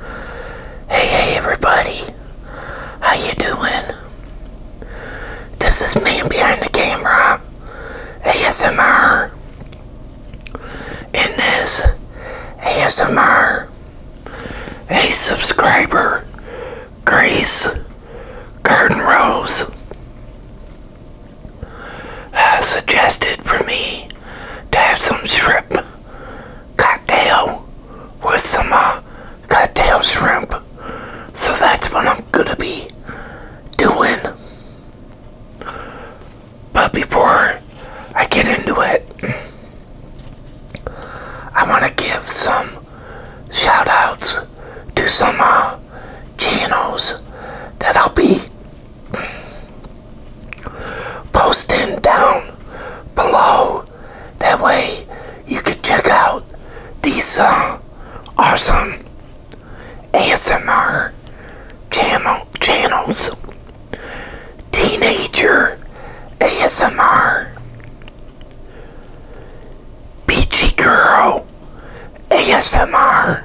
Hey, hey, everybody. How you doing? This is man behind the camera. ASMR. In this ASMR, a subscriber, Grace Garden Rose, uh, suggested for me to have some shrimp cocktail with some uh, cocktail shrimp. So that's what I'm gonna be doing. But before I get into it, I want to give some shout outs to some uh, channels that I'll be post them down below. That way you can check out these uh, awesome ASMR channel channels. Teenager ASMR. Beachy Girl ASMR.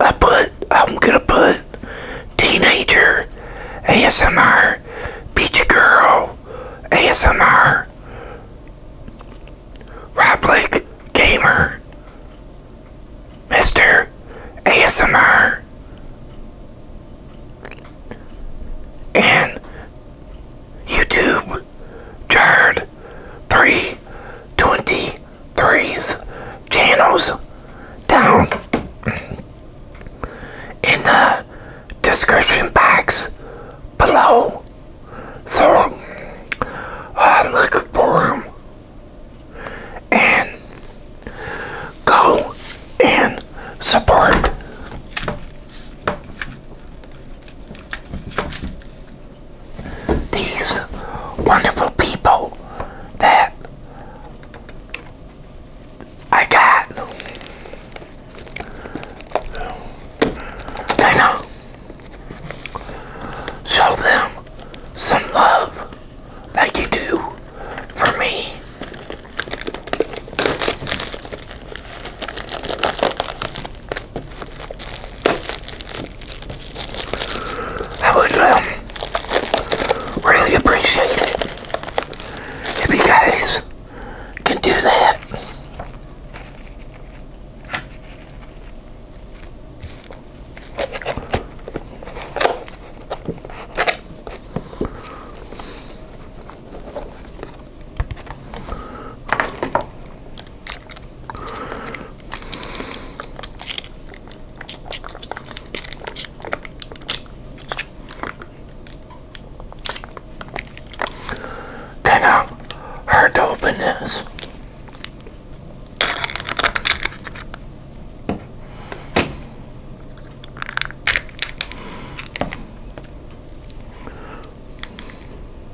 I put, I'm gonna put Teenager ASMR, Beach Girl ASMR, Roblick Gamer, Mr. ASMR, and YouTube Jared 320 threes channels down in the description box below. So uh, look for them and go and support these wonderful people that I got. I'll show them some love like you do for me. I would um, really appreciate it if you guys can do that. Kind of hard open this.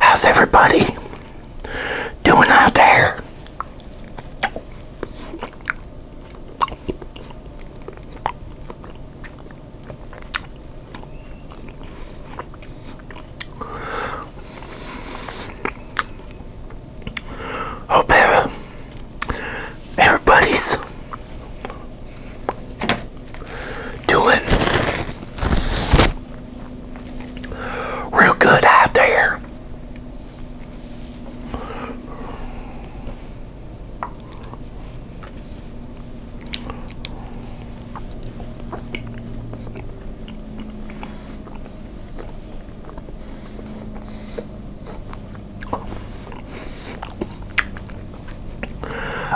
How's everybody doing out there? Hope uh, everybody's doing real good out there.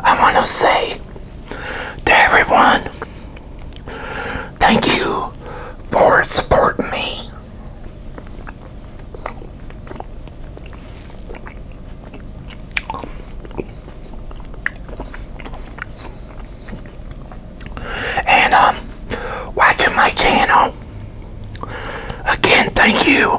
I want to say to everyone, thank you for supporting me. And um, watching my channel. Again, thank you.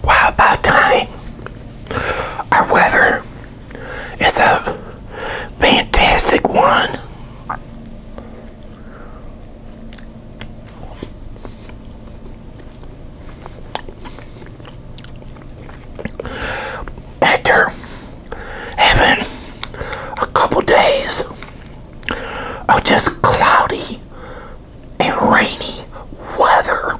Wow, about time. Our weather is a fantastic one. After having a couple days of just cloudy and rainy weather,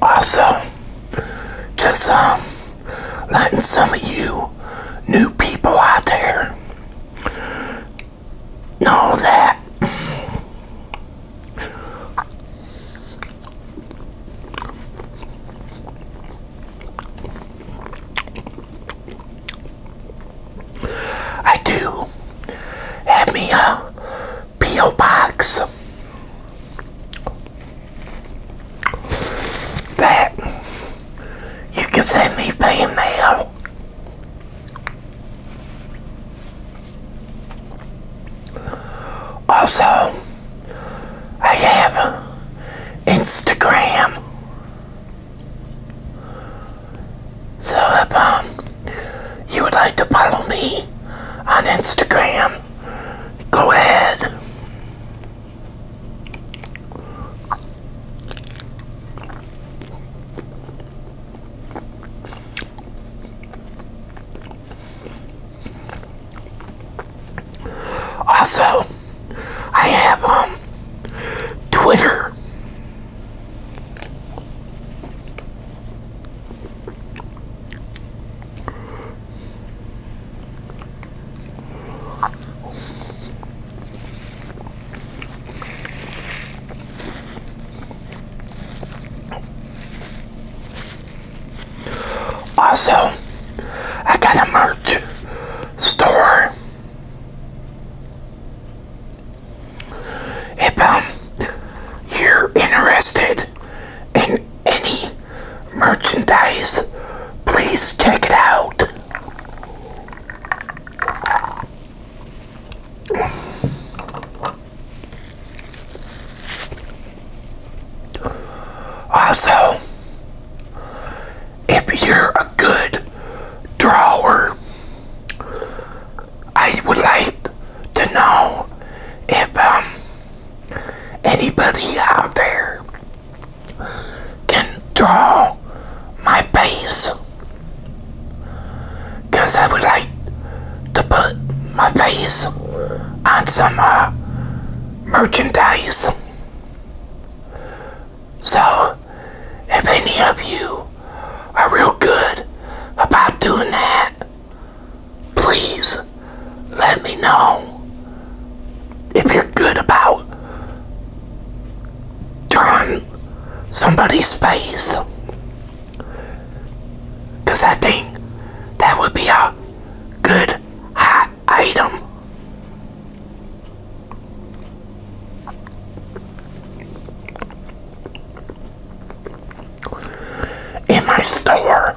Also, just um, letting some of you new people out there and that. I do have me a P.O. box that you can send me fan mail. Also, I have Instagram. So if um, you would like to follow me on Instagram, go ahead. Also, I have um Twitter. Also, I got a merch store. If um, you're interested in any merchandise, please check it out. Also, if you're a good drawer, I would like to know if um, anybody out there can draw my face because I would like to put my face on some uh, merchandise. So, if any of you are real good about doing that, please let me know if you're good about drawn somebody's face. Because I think that would be a good hot item. In my store.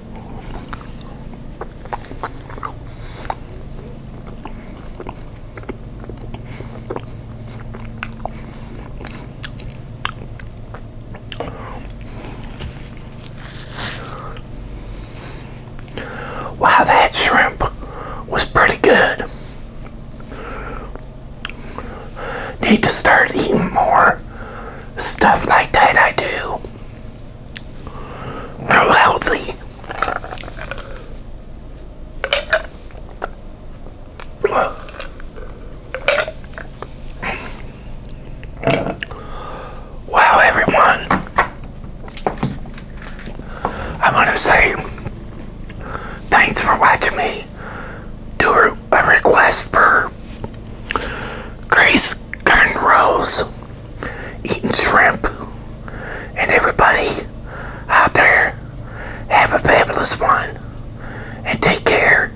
Wow, that shrimp was pretty good. Need to start eating more stuff like that, I do real healthy. Wow, everyone. I want to say thanks for watching me do a request for Grace Garden Rose eating shrimp. And everybody out there, have a fabulous one. And take care.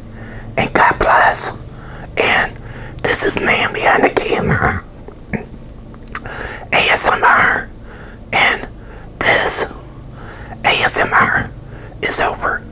And God bless. And this is Man Behind the Camera. ASMR. And this ASMR is over.